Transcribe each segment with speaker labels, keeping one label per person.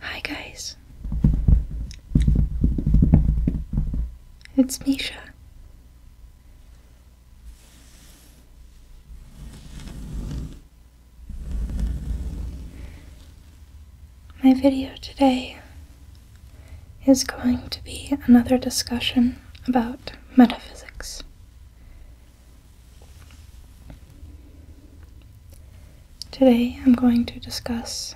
Speaker 1: Hi, guys. It's Misha. My video today is going to be another discussion about metaphysics. Today I'm going to discuss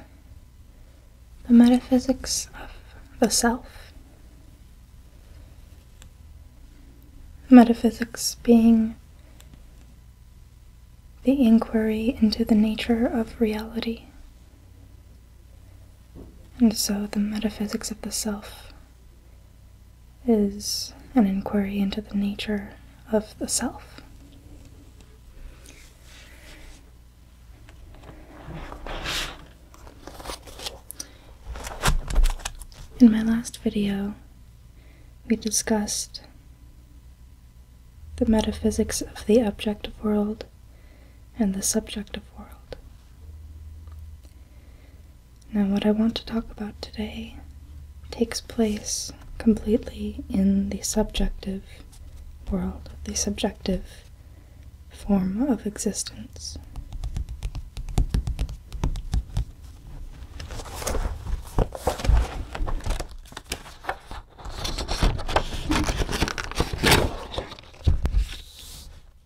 Speaker 1: the metaphysics of the self. Metaphysics being the inquiry into the nature of reality. And so the metaphysics of the self is an inquiry into the nature of the self. In my last video, we discussed the metaphysics of the objective world and the subjective world. Now, what I want to talk about today takes place completely in the subjective world, the subjective form of existence.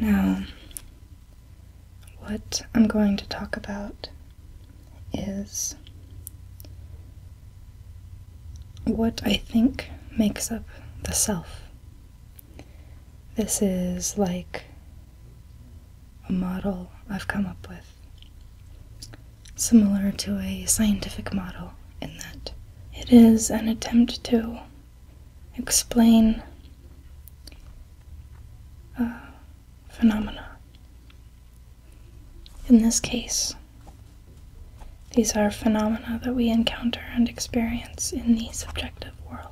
Speaker 1: Now, what I'm going to talk about is what I think makes up the self. This is like a model I've come up with similar to a scientific model in that it is an attempt to explain uh, phenomena. In this case, these are phenomena that we encounter and experience in the subjective world.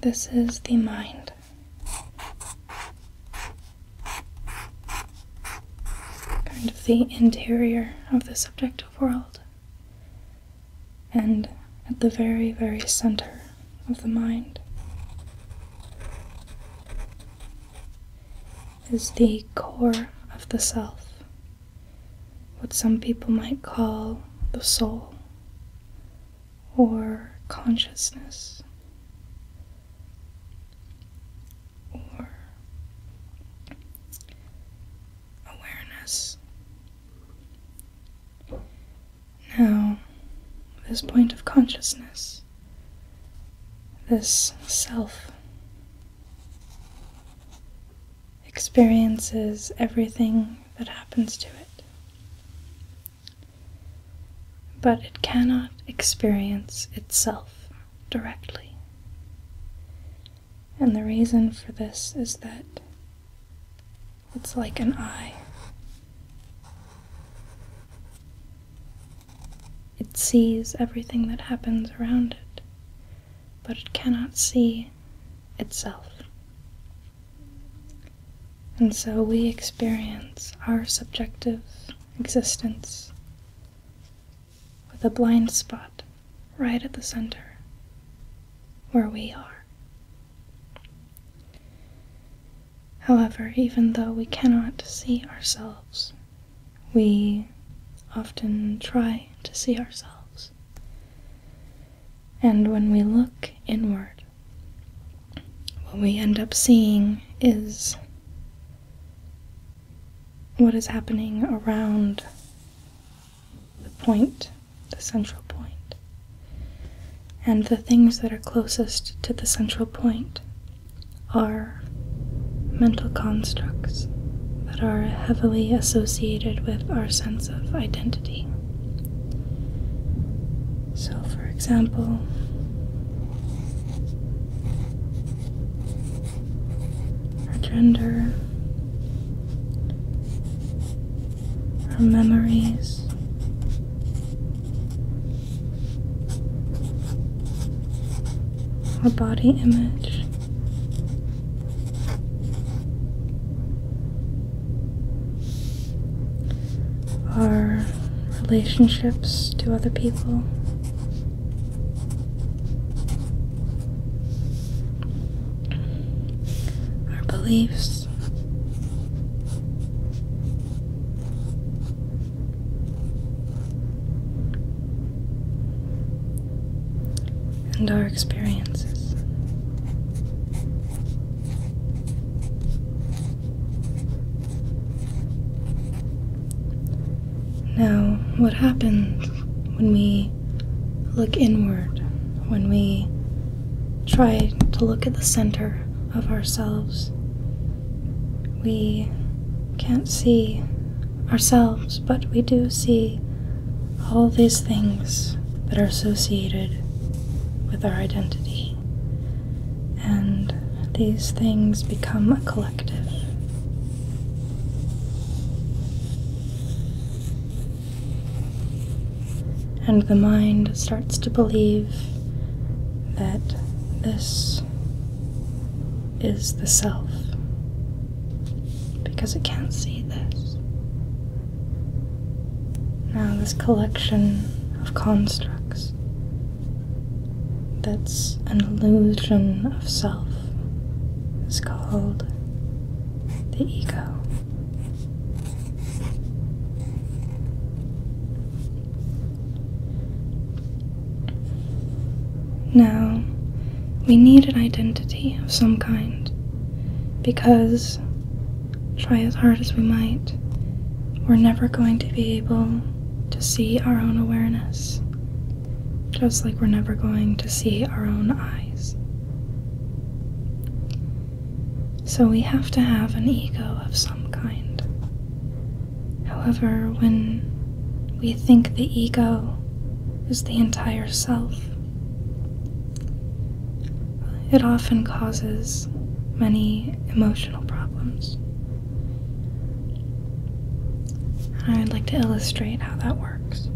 Speaker 1: This is the mind. Kind of the interior of the subjective world. And at the very, very center of the mind is the core of the self, what some people might call the soul or consciousness or awareness. Now, this point of consciousness, this self experiences everything that happens to it. But it cannot experience itself directly. And the reason for this is that it's like an eye. It sees everything that happens around it, but it cannot see itself. And so we experience our subjective existence with a blind spot right at the center where we are. However, even though we cannot see ourselves, we often try to see ourselves. And when we look inward, what we end up seeing is what is happening around the point, the central And the things that are closest to the central point are mental constructs that are heavily associated with our sense of identity. So, for example, our gender, our memories, our body image. Our relationships to other people, our beliefs, and our experiences. Now, what happens when we look inward, when we try to look at the center of ourselves we can't see ourselves, but we do see all these things that are associated with our identity. And these things become a collective. And the mind starts to believe that this is the self because it can't see this. Now, this collection of constructs that's an illusion of self is called the ego. Now, we need an identity of some kind because, try as hard as we might, we're never going to be able to see our own awareness, just like we're never going to see our own eyes. So we have to have an ego of some kind. However, when we think the ego is the entire self, it often causes many emotional problems. I would like to illustrate how that works.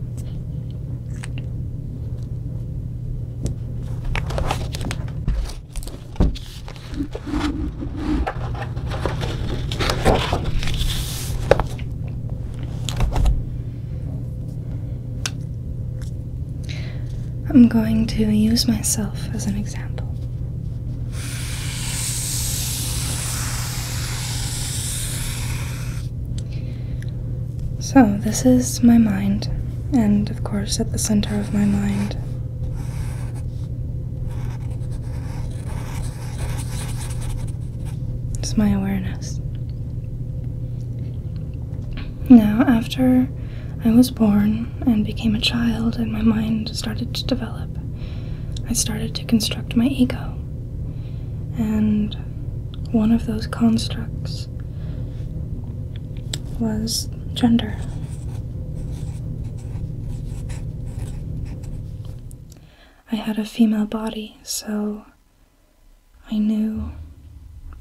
Speaker 1: I'm going to use myself as an example. So, this is my mind and, of course, at the center of my mind. It's my awareness. Now, after I was born and became a child, and my mind started to develop, I started to construct my ego. And one of those constructs was gender. I had a female body, so I knew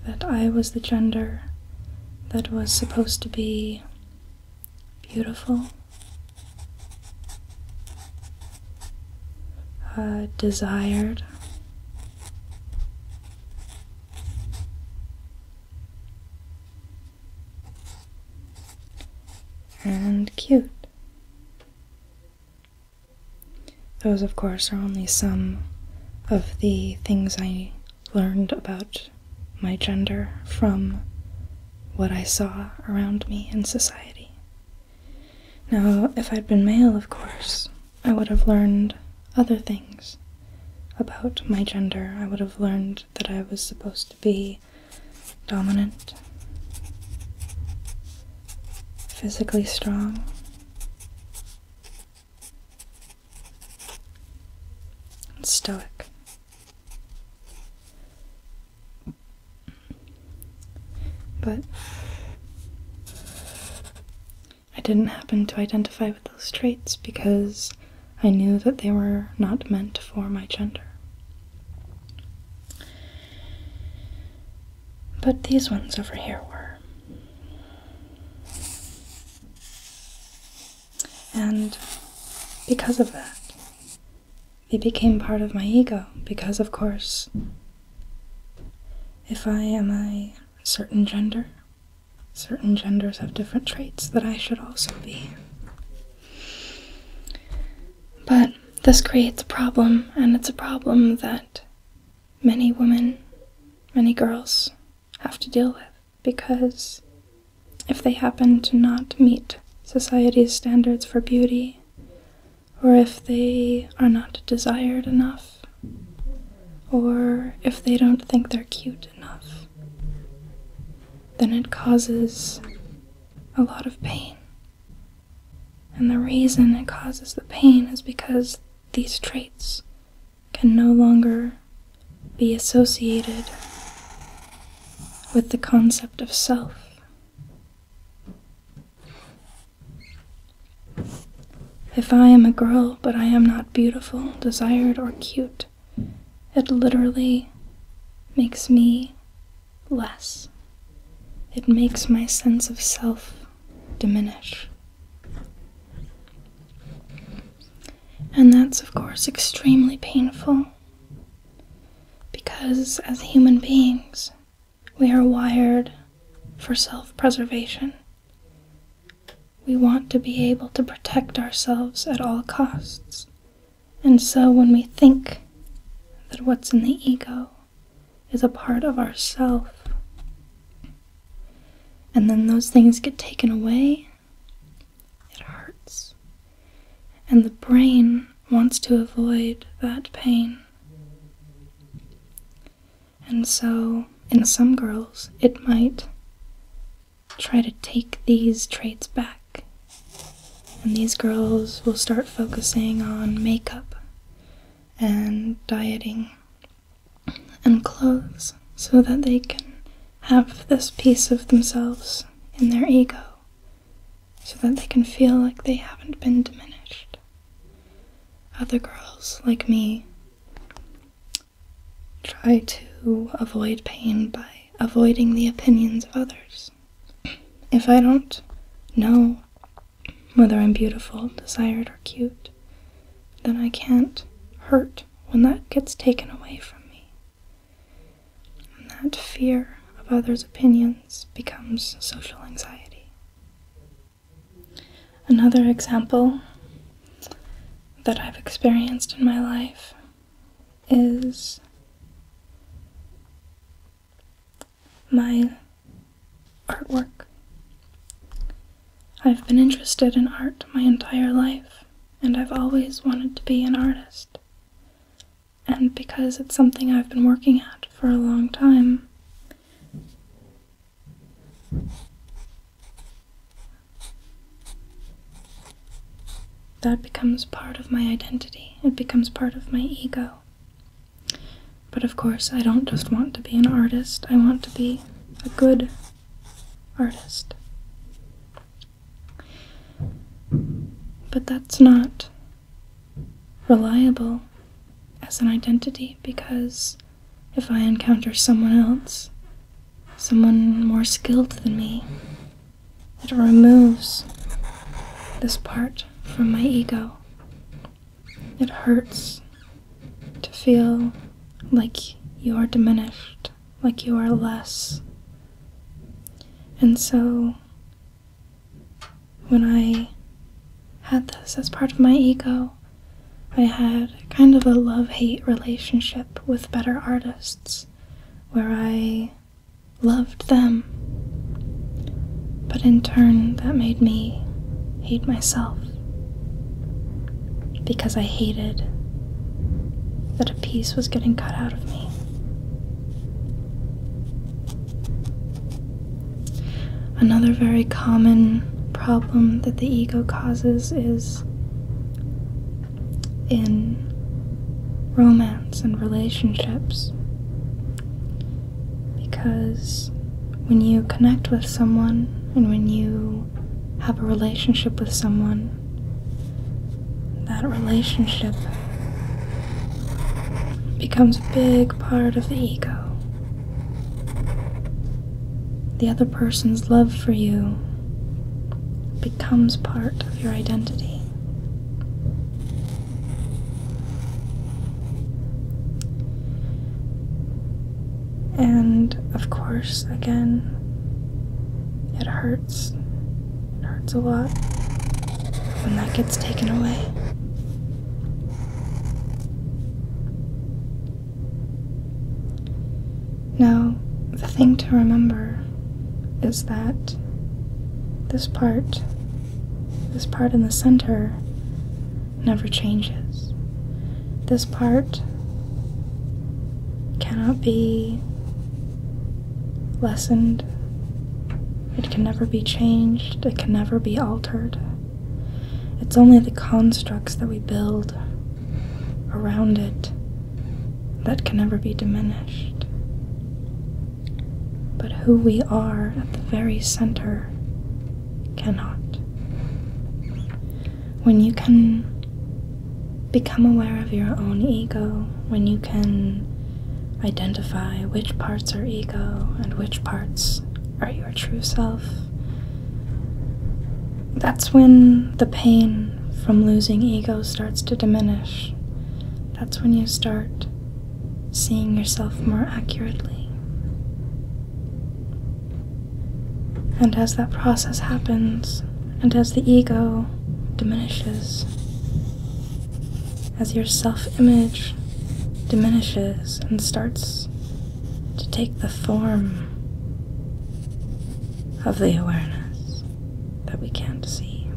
Speaker 1: that I was the gender that was supposed to be beautiful, uh, desired, and cute. Those, of course, are only some of the things I learned about my gender from what I saw around me in society. Now, if I'd been male, of course, I would have learned other things about my gender. I would have learned that I was supposed to be dominant, physically strong. and Stoic. But I didn't happen to identify with those traits because I knew that they were not meant for my gender. But these ones over here were. And because of that, they became part of my ego because, of course, if I am a certain gender. Certain genders have different traits that I should also be. But this creates a problem, and it's a problem that many women, many girls have to deal with because if they happen to not meet society's standards for beauty, or if they are not desired enough, or if they don't think they're cute enough, then it causes a lot of pain. And the reason it causes the pain is because these traits can no longer be associated with the concept of self. If I am a girl, but I am not beautiful, desired, or cute, it literally makes me less. It makes my sense of self diminish. And that's, of course, extremely painful because as human beings, we are wired for self preservation. We want to be able to protect ourselves at all costs. And so when we think that what's in the ego is a part of ourself, and then those things get taken away, it hurts. And the brain wants to avoid that pain. And so, in some girls, it might try to take these traits back. And these girls will start focusing on makeup and dieting and clothes so that they can have this piece of themselves in their ego so that they can feel like they haven't been diminished. Other girls, like me, try to avoid pain by avoiding the opinions of others. If I don't know whether I'm beautiful, desired, or cute, then I can't hurt when that gets taken away from me. And that fear of others' opinions becomes social anxiety. Another example that I've experienced in my life is my artwork. I've been interested in art my entire life, and I've always wanted to be an artist and because it's something I've been working at for a long time. That becomes part of my identity. It becomes part of my ego. But of course, I don't just want to be an artist, I want to be a good artist. But that's not reliable as an identity because if I encounter someone else, someone more skilled than me, it removes this part from my ego. It hurts to feel like you are diminished, like you are less. And so when I had this as part of my ego, I had kind of a love hate relationship with better artists where I loved them. But in turn, that made me hate myself because I hated that a piece was getting cut out of me. Another very common problem that the ego causes is in romance and relationships. Because when you connect with someone and when you have a relationship with someone, that relationship becomes a big part of the ego. The other person's love for you becomes part of your identity. And of course, again, it hurts. It hurts a lot when that gets taken away. Now, the thing to remember is that this part, this part in the center, never changes. This part cannot be lessened. It can never be changed, it can never be altered. It's only the constructs that we build around it that can never be diminished. But who we are at the very center cannot. When you can become aware of your own ego, when you can identify which parts are ego and which parts are your true self, that's when the pain from losing ego starts to diminish. That's when you start seeing yourself more accurately. And as that process happens, and as the ego diminishes, as your self image diminishes and starts to take the form of the awareness that we can't see.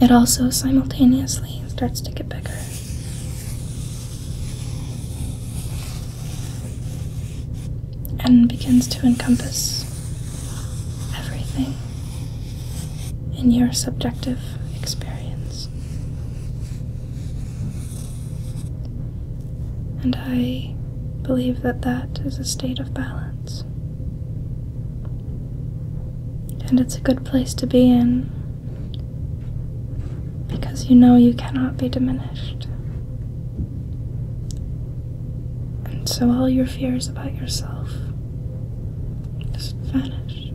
Speaker 1: It also simultaneously starts to get bigger and begins to encompass everything in your subjective experience. And I believe that that is a state of balance. And it's a good place to be in because you know you cannot be diminished. And so all your fears about yourself just vanish.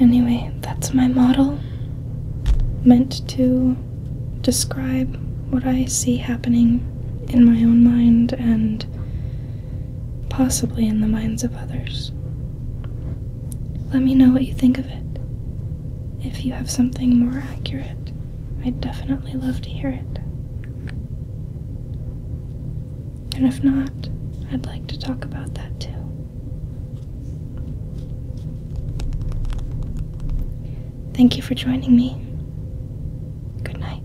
Speaker 1: Anyway, that's my model, meant to describe what I see happening in my own mind and possibly in the minds of others. Let me know what you think of it. If you have something more accurate, I'd definitely love to hear it. And if not, I'd like to talk about that too. Thank you for joining me. Good night.